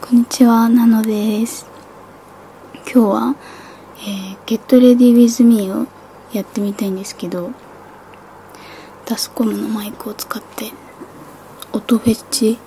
こんにちは、なのです。今日は、えー、Get Ready With Me をやってみたいんですけど、タスコムのマイクを使って、音フェッチ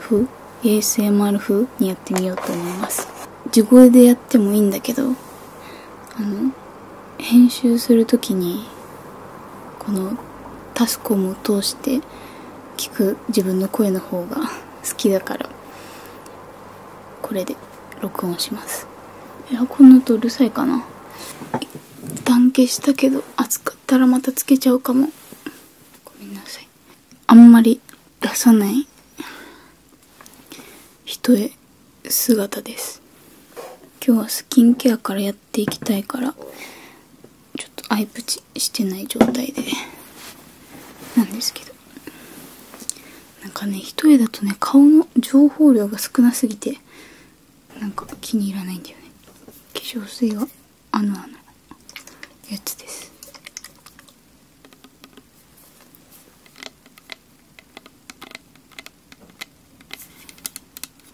風 ?ASMR 風にやってみようと思います。地声でやってもいいんだけど、あの、編集するときに、このタスコムを通して聞く自分の声の方が好きだからこれで録音しますエアコンの音うるさいかな一旦消したけど暑かったらまたつけちゃうかもごめんなさいあんまり出さない人へ姿ですっいきたいからちょっとアイプチしてない状態でなんですけどなんかね一重だとね顔の情報量が少なすぎてなんか気に入らないんだよね化粧水はあのあのやつです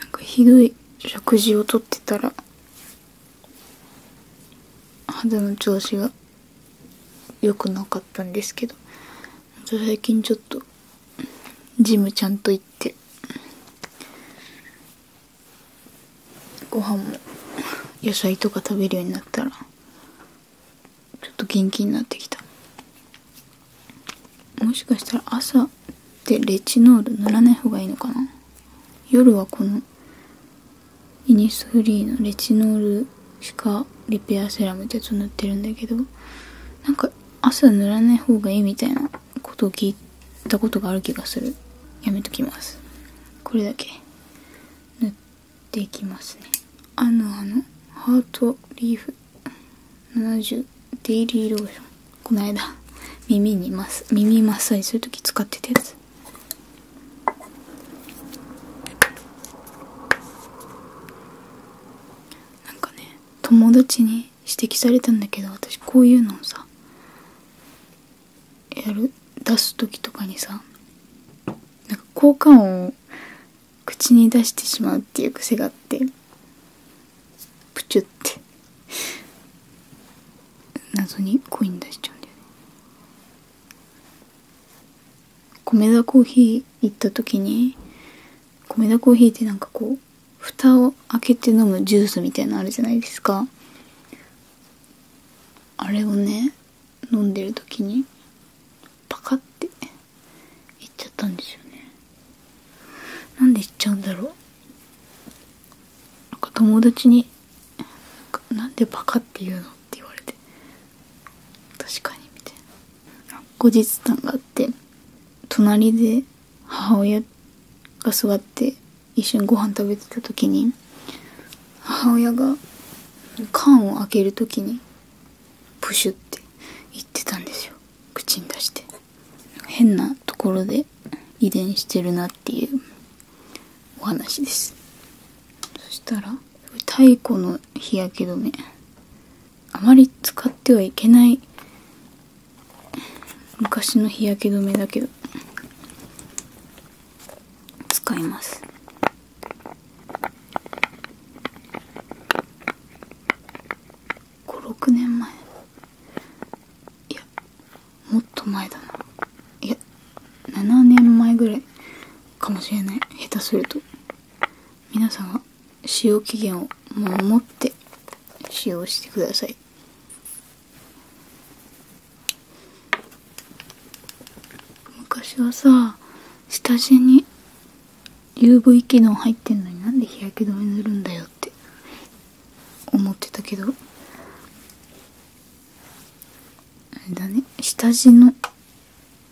なんかひどい食事をとってたら肌の調子が良くなかったんですけど最近ちょっとジムちゃんと行ってご飯も野菜とか食べるようになったらちょっと元気になってきたもしかしたら朝ってレチノール塗らない方がいいのかな夜はこのイニスフリーのレチノール歯科リペアセラムってやつを塗ってるんだけどなんか朝塗らない方がいいみたいなことを聞いてたことがある気がするれだけ塗っていきますねあのあのハートリーフ70デイリーローションこの間耳に耳マッサージする時使ってたやつなかね友達に指摘されたんだけど私こういうのをさやる出す時とかにさなんか効果音を口に出してしまうっていう癖があってプチュって謎にコイン出しちゃうんだよね米田コーヒー行った時に米田コーヒーってなんかこう蓋を開けて飲むジュースみたいのあるじゃないですかあれをね飲んでる時にパカっていっちゃったんですよねなんでいっちゃうんだろうなんか友達になんでパカって言うのって言われて確かにみたいな後日談があって隣で母親が座って一緒にご飯食べてた時に母親が缶を開ける時にプシュって言ってたんですよ口に出して変なところで遺伝してるなっていうお話ですそしたら太古の日焼け止めあまり使ってはいけない昔の日焼け止めだけど使います56年前いやもっと前だないや7年前ぐらいかもしれない下手すると皆さんは使用期限を守って使用してください昔はさ下地に UV 機能入ってんのになんで日焼け止め塗るんだよって思ってたけどあれだね下地の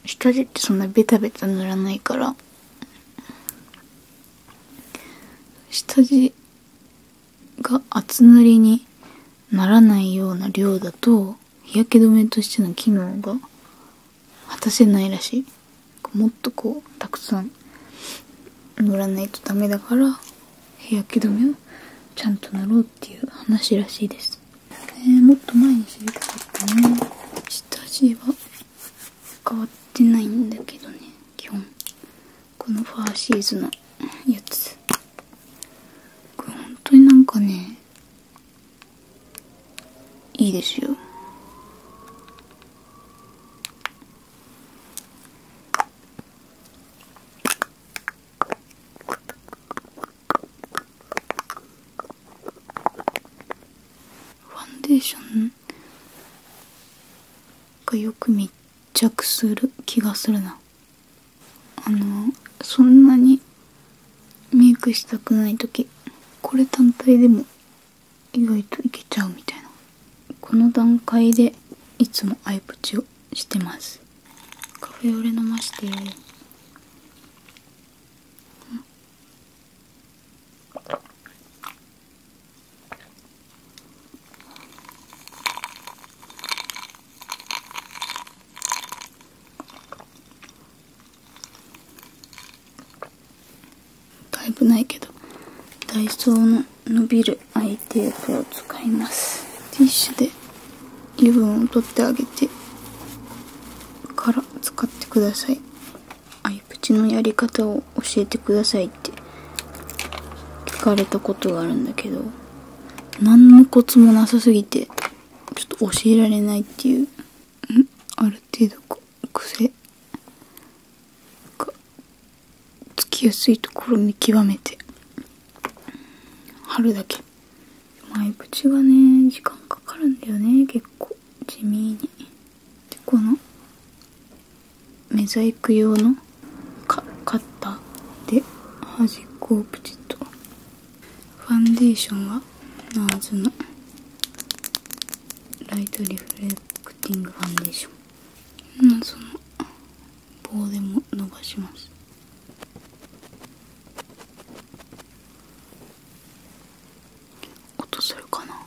下地ってそんなベタベタ塗らないから下地が厚塗りにならないような量だと日焼け止めとしての機能が果たせないらしいもっとこうたくさん塗らないとダメだから日焼け止めをちゃんと塗ろうっていう話らしいです、えー、もっと前に知りたかったね下地は変わってないんだけどね基本このファーシーズのやつこれ本当になんかねいいですよファンデーションかよく密着する気がするなあのそんなにメイクしたくない時これ単体でも意外といけちゃうみたいなこの段階でいつもアイプチをしてますカフェオレ飲ましてだいぶないけどダイソーの伸びるアイテープを使いますティッシュで油分を取ってあげてから使ってくださいあゆプチのやり方を教えてくださいって聞かれたことがあるんだけど何のコツもなさすぎてちょっと教えられないっていうある程度癖がつきやすいところ見極めて貼るだけ前プチがね時間かかるんだよね結構地味に。でこのメザイク用のカッターで端っこをプチッとファンデーションは n a r のライトリフレクティングファンデーションその棒でも伸ばします音するかな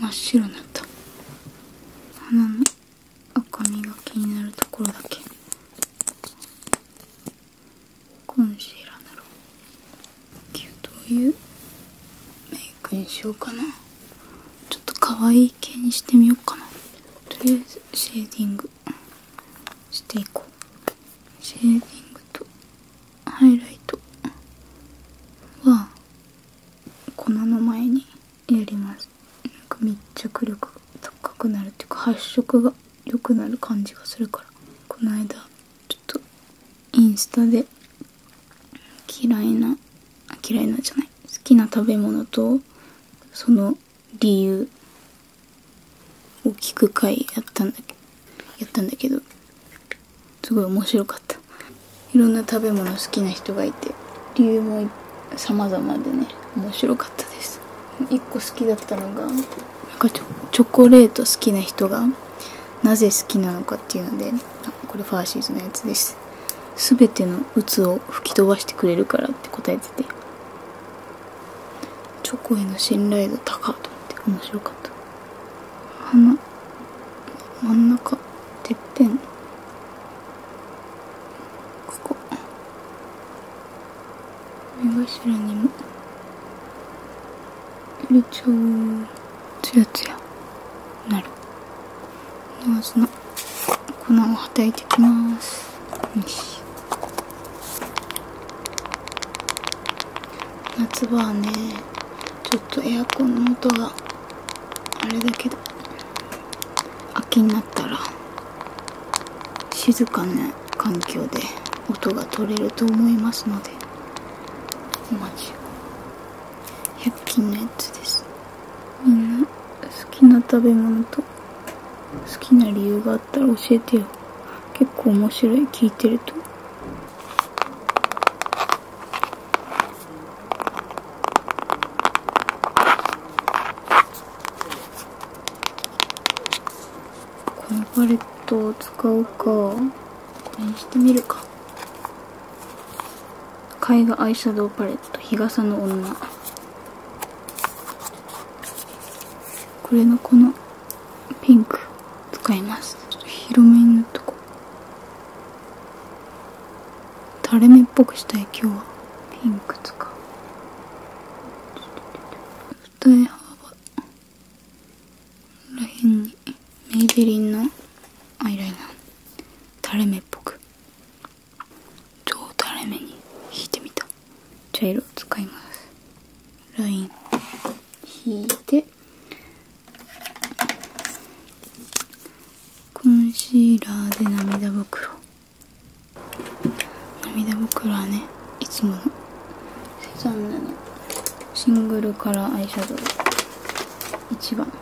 真っ白になった花の赤みが気になるところだけコンシーラーならどういうメイクにしようかなちょっと可愛い系にしてみようかなとりあえずシェーディングしていこうシェーディングとハイライトは粉の前にやりますなか密着力が高くなるっていうか発色が良くなる感じがするからこの間ちょっとインスタで嫌いな嫌いなじゃない好きな食べ物とその理由を聞く回やったんだけやったんだけどすごい面白かったいろんな食べ物好きな人がいて理由も様々でね面白かったですです一個好きだったのがなんかチョコレート好きな人がなぜ好きなのかっていうのであこれファーシーズのやつです全ての鬱を吹き飛ばしてくれるからって答えててチョコへの信頼度高と思って面白かった花真ん中てっぺんここ目頭にもより超ツヤツヤなるノーズの粉をはたいていきます夏場はねちょっとエアコンの音があれだけど秋になったら静かな環境で音が取れると思いますのでマジ100均のやつですみんな好きな食べ物と好きな理由があったら教えてよ結構面白い聞いてるとこのパレットを使うかこれにしてみるか絵画アイシャドウパレット日傘の女これのこのピンク使いますちょっと広めに塗っとこう垂れ目っぽくしたい今日はピンク使う二重幅ここらにメイベリンのアイライナー垂れ目っぽく超垂れ目に引いてみた茶色を使いますライン引いてコンシーラーで涙袋涙袋はねいつものセザンヌのシングルカラーアイシャドウ1番こ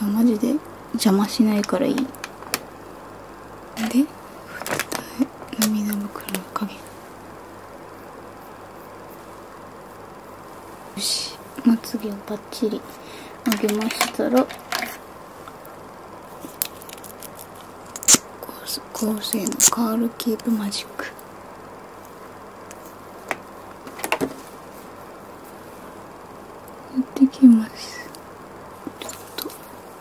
れはマジで邪魔しないからいいで涙袋の影よしまつげをバッチリ上げましたらコース、構成のカールキープマジックやってきますちょっ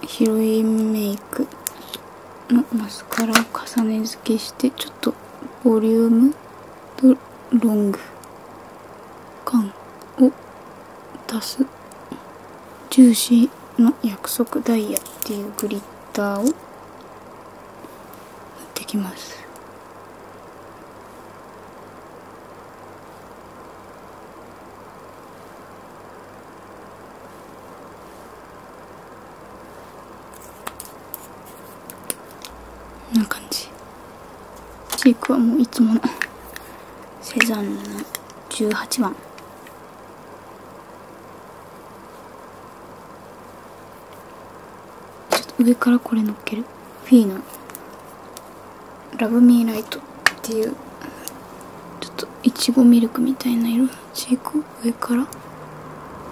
とヒロインメイクのマスカラを重ね付けしてちょっとボリュームとロング感を出すジューシーの約束ダイヤっていうグリッターを塗ってきますこんな感じチークはもういつものセザンヌの18番ちょっと上からこれのっけるフィーの「ラブミーライトっていうちょっといちごミルクみたいな色チークを上から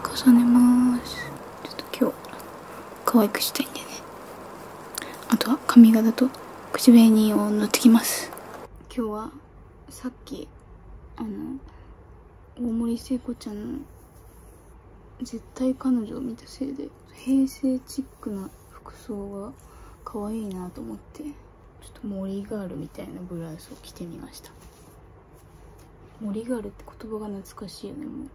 重ねますちょっと今日可愛くしたいんでねあとは髪型と口紅を塗ってきます今日はさっきあの大森聖子ちゃんの絶対彼女を見たせいで平成チックな服装が可愛いなと思ってちょっと森ガールみたいなブラウスを着てみました森ガールって言葉が懐かしいよねもう